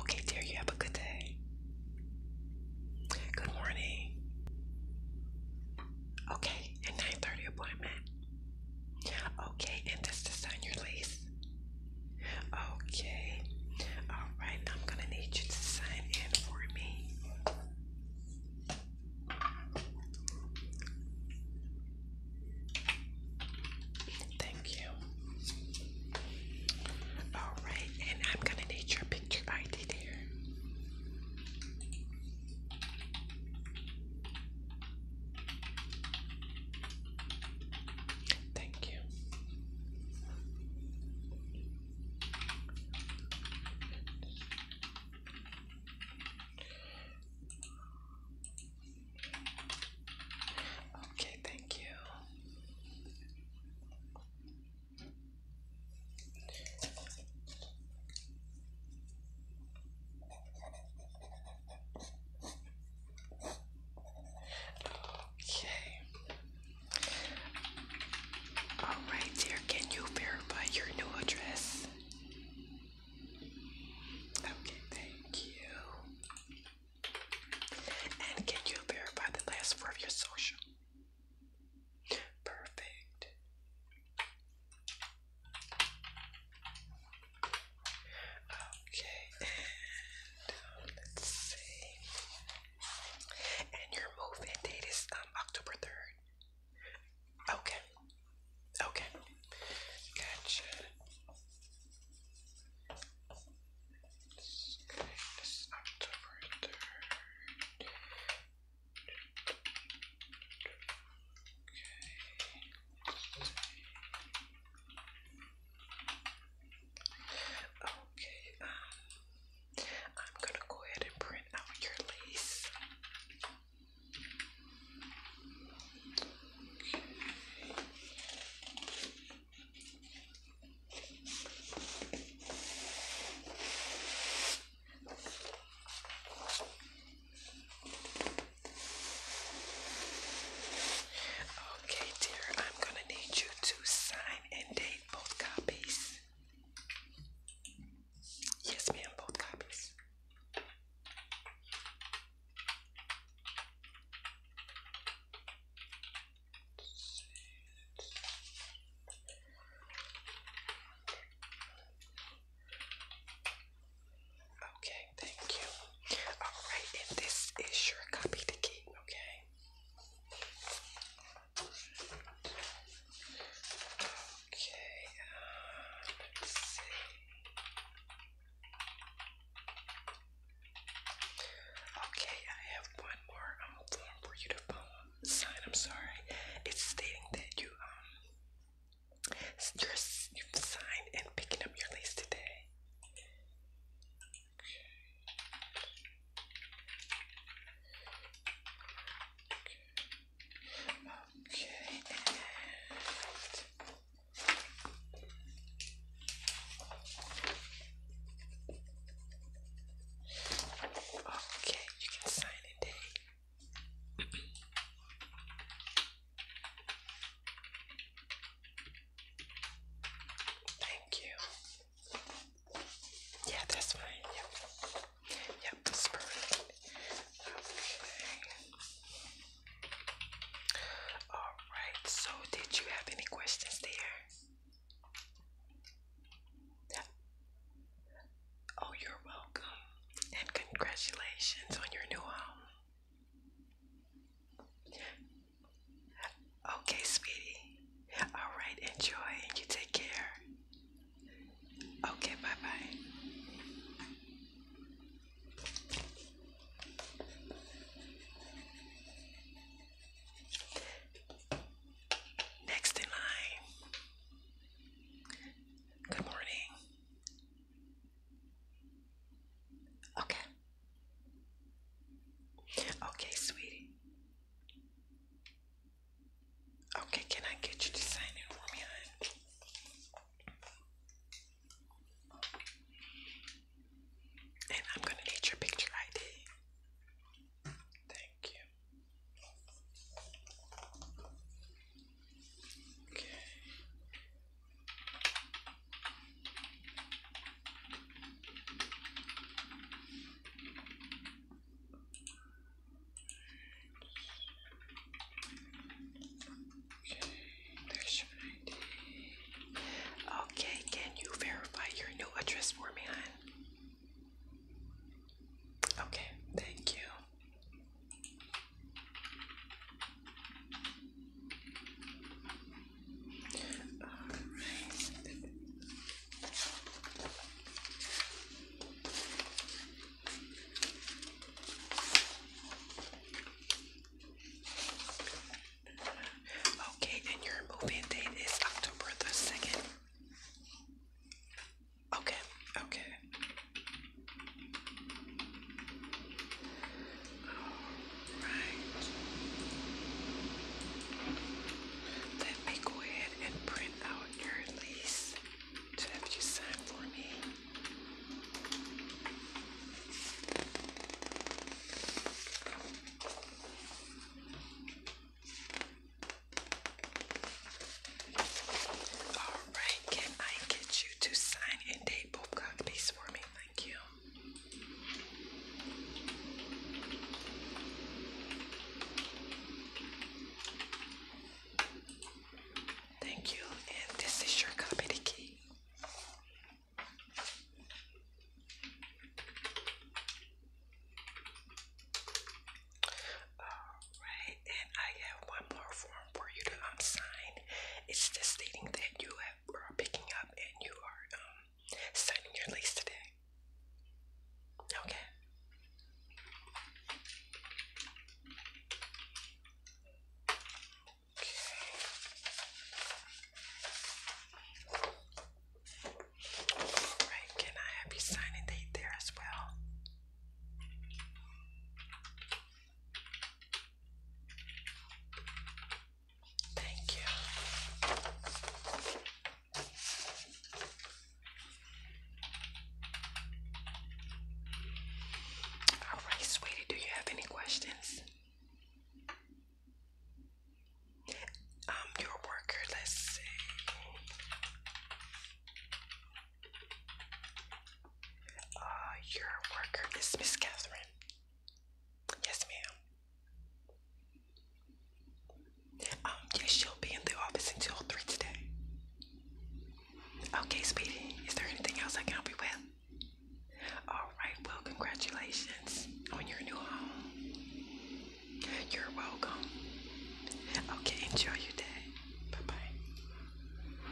Okay, dear, you have a good day. Good morning. Okay, and 9.30 appointment. Okay, and that's to sign your lease. Okay. Alright, I'm gonna need you to sign in for me. Thank you. All right, and I'm gonna need your picture ID there. Thank you. Okay, thank you. Okay. All right, dear. Can you verify your new address? Okay, thank you. And can you verify the last four of your social? Perfect. Okay, um, let's see. And your move-in date is um, October 3rd. Okay, Okay. Gotcha. This is Okay. Okay, um, I'm gonna go ahead and print out your lace. Okay, dear, I'm gonna need you to sign and date both copies. Yes, ma'am, both copies. Okay, thank you. All right, and this is your copy to keep, okay? Okay, let's see. Okay, I have one more um, form for you to sign. I'm sorry, it's stating that you um you're, you've signed and picking up your lease today. Okay, okay, you can sign it Thank you. Yeah, that's fine. Yep, Okay. Alright, so did you have any questions there? Yeah. Oh, you're welcome. And congratulations on your new home. Okay, sweetie. All right, enjoy and you take care. Okay, bye bye. Next in line. Good morning. Okay. Okay, sweetie. Okay, can I get you to sign in for me, And I'm gonna need your picture ID. Thank you. Okay. Okay, can you verify your new address for me, hon? Okay, thank you. All right. Okay, and your move-in date is October the 2nd. Okay, okay. All right. Let me go ahead and print out your lease to have you sign for me. All right, can I get you to sign and date both for me? Thank you. Thank you, and this is your copy the key. Alright, and I have one more form for you to um, sign. It's just stating that you are picking up and you are um, signing your lease today. Okay. Okay. Alright, can I have your signing date there as well? Thank you. All right, sweetie, do you have any questions? Um, your worker, let's see. Uh, your worker is Miss Catherine. Yes, ma'am. Um, yes, she'll be in the office until three today. Okay, Speedy. Is there anything else I can help you with? All right. Well, congratulations on your new home. You're welcome. Okay, enjoy your day. Bye bye.